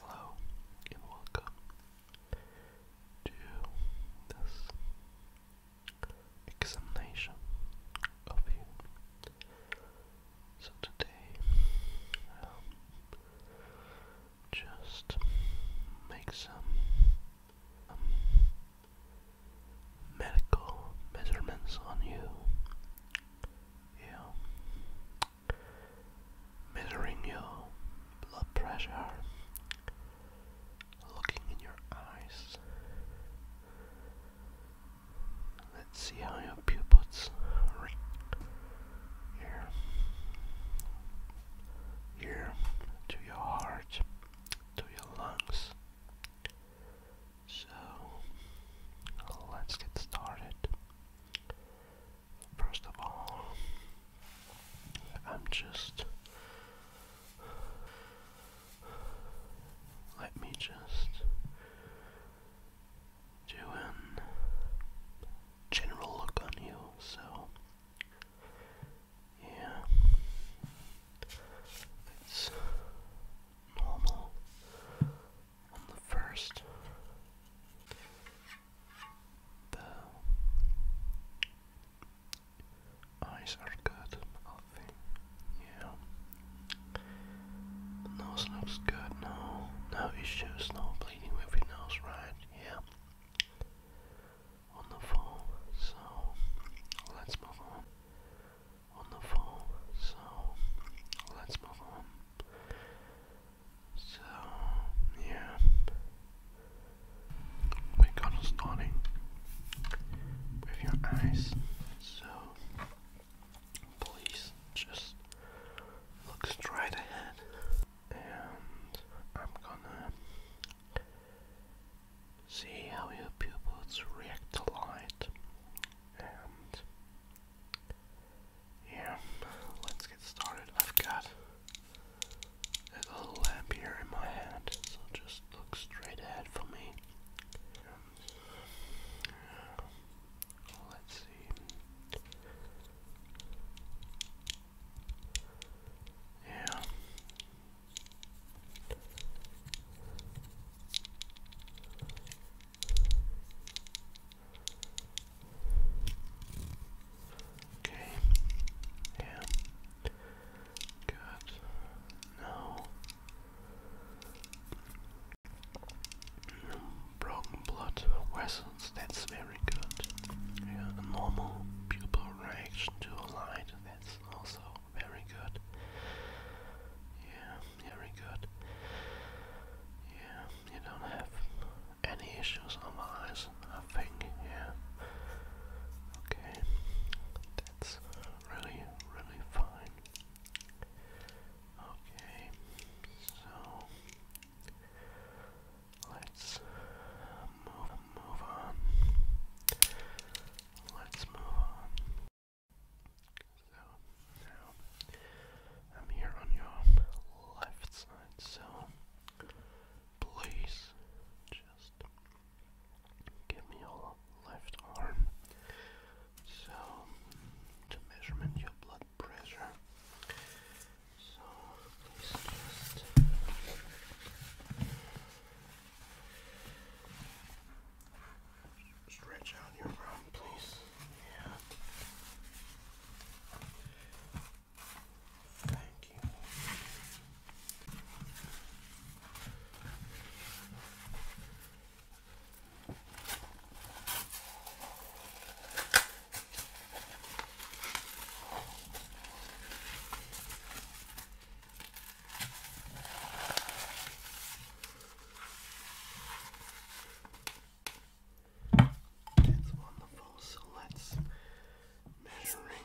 Hello and welcome to this examination of you. So today, um, just make some um, medical measurements on you. Yeah. Measuring your blood pressure. Looking in your eyes. Let's see how your pupils react. Here. Here. To your heart. To your lungs. So let's get started. First of all, I'm just. Let me just do a general look on you. So yeah. It's normal on the first. The eyes are good, I Yeah. nose looks good. No, no issues. No bleeding with your nose, right? Yeah on the phone, so let's move on. On the phone, so let's move on. So, yeah, we're gonna starting with your eyes, so please just look straight ahead, and I'm gonna see how your pupils react to light. And yeah, let's get started. I've got a little lamp here in my hand, so just look straight ahead for me. let's see. Yeah, Okay. Yeah. Good. No. Broken blood vessels, that's very good. Yeah, normal pupil reaction to light, that's also very good. Yeah, very good. Yeah, you don't have any issues on eyes, I yeah. Okay, that's really, really fine. Okay, so let's move, move on let's move on. So now I'm here on your left side, so please just give me your left arm. So to measurement your blood pressure. So please just Stretch out your arm, please. Yeah. Thank you. That's wonderful. So let's measuring.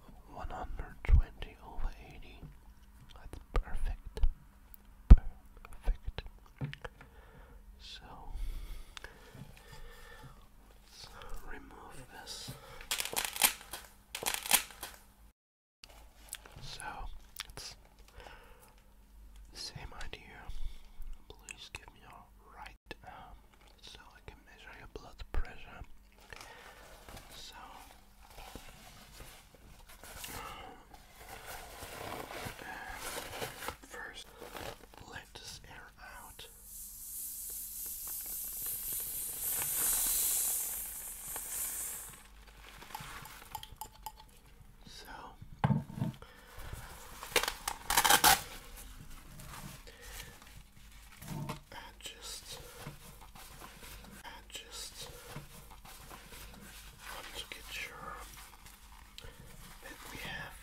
120 over 80. That's perfect. Perfect. So, let's remove this. So, it's same idea. Please give me your right so I can measure your blood pressure. So first let this air out. So and just and just want to get sure that we have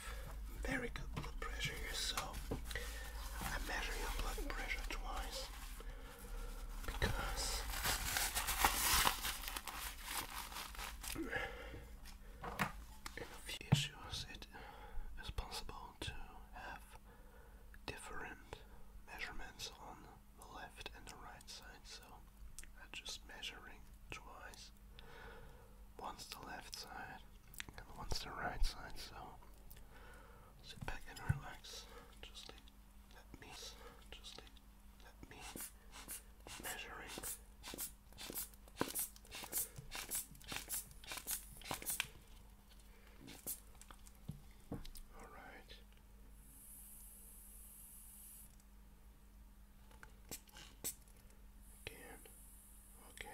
very good blood pressure so I measure your blood pressure twice because in a few it is possible to have different measurements on the left and the right side, so I'm just measuring twice. Once the left side and once the right side, so sit back and relax. Just let me, just let me measuring. All right. Again. Okay.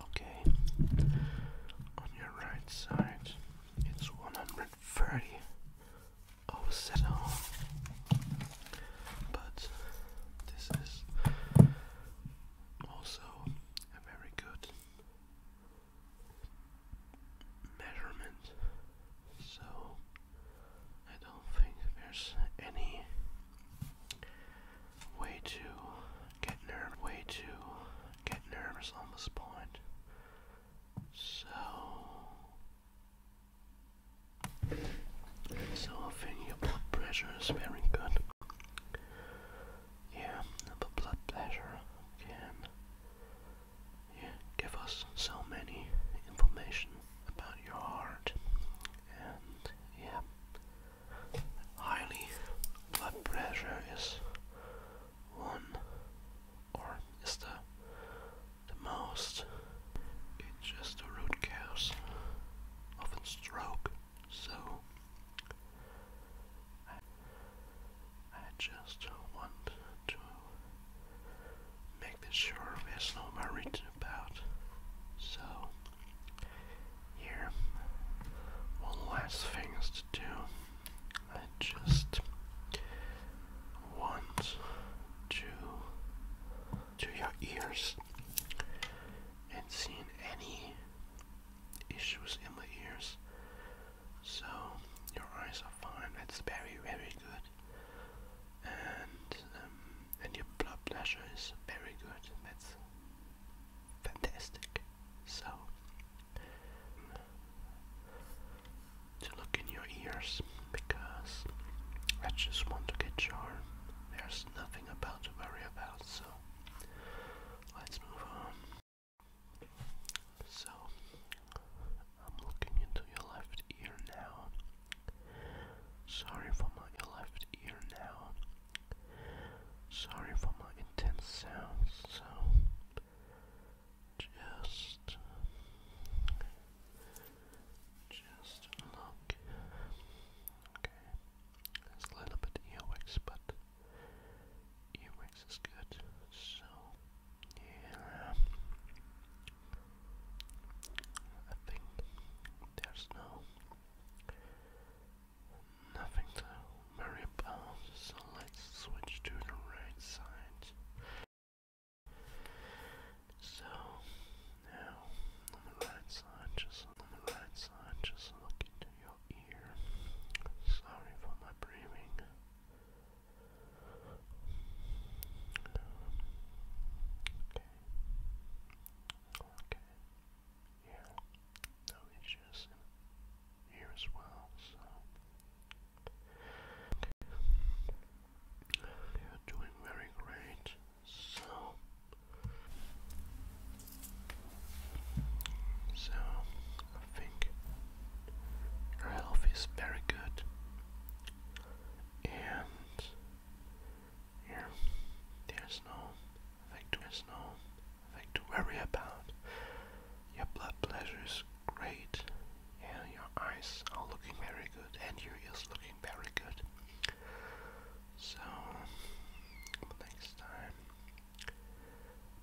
Okay, on your right side, it's 130 over settle, but this is also a very good measurement, so I don't think there's any way to get nervous, way to get nervous on this point. So, so I think your blood pressure is very good. Yeah, the blood pressure can yeah, give us so many information about your heart and yeah highly blood pressure is one or is the the most it's just the root cause of a stroke so I, just want to make this sure there's no worried about so here one last thing is to do I just want to to your ears and seeing any issues in the ears. So your eyes are fine. That's very very good. And um, and your blood pressure is very good. That's fantastic. So to look in your ears because I just want to get your there's nothing about to worry about so let's move on so I'm looking into your left ear now sorry for my left ear now sorry for my intense sounds so just, just look. Okay, there's a little bit earwax, but earwax is good. So, yeah, I think there's no Nothing to worry about, so let's switch to the right side. So now on the right side, just on the right side, just look into your ear. Sorry for my breathing. Okay. Okay. Yeah no issues in here as well, so you doing very great. So so I think your health is very good and yeah, there's no like there's no thing to worry about. Your blood pressure is great, and your eyes are looking very good, and your ears looking very good. So, next time.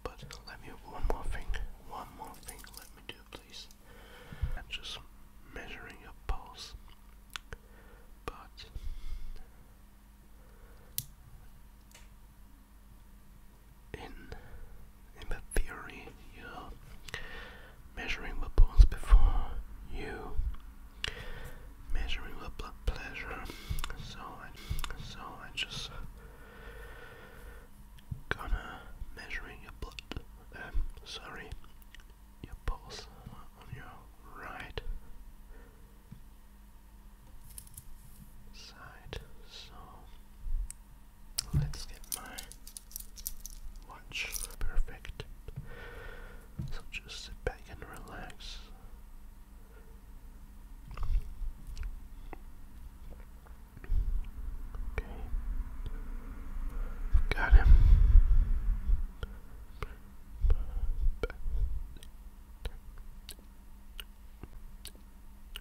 But let me one more thing, one more thing, let me do, please. I'm just measuring your pulse, but in in the theory you're measuring the bones before you measuring the blood pressure. So I so I just gonna measuring your blood um, sorry your pulse on your right side. So let's get my watch perfect. So just sit back and relax. Okay. Got him.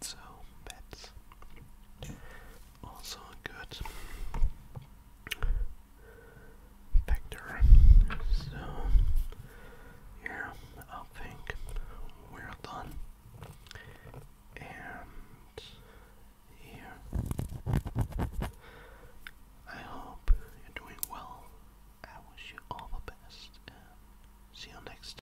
so that's also good factor. So yeah, I think we're done. And yeah, I hope you're doing well. I wish you all the best see you next time.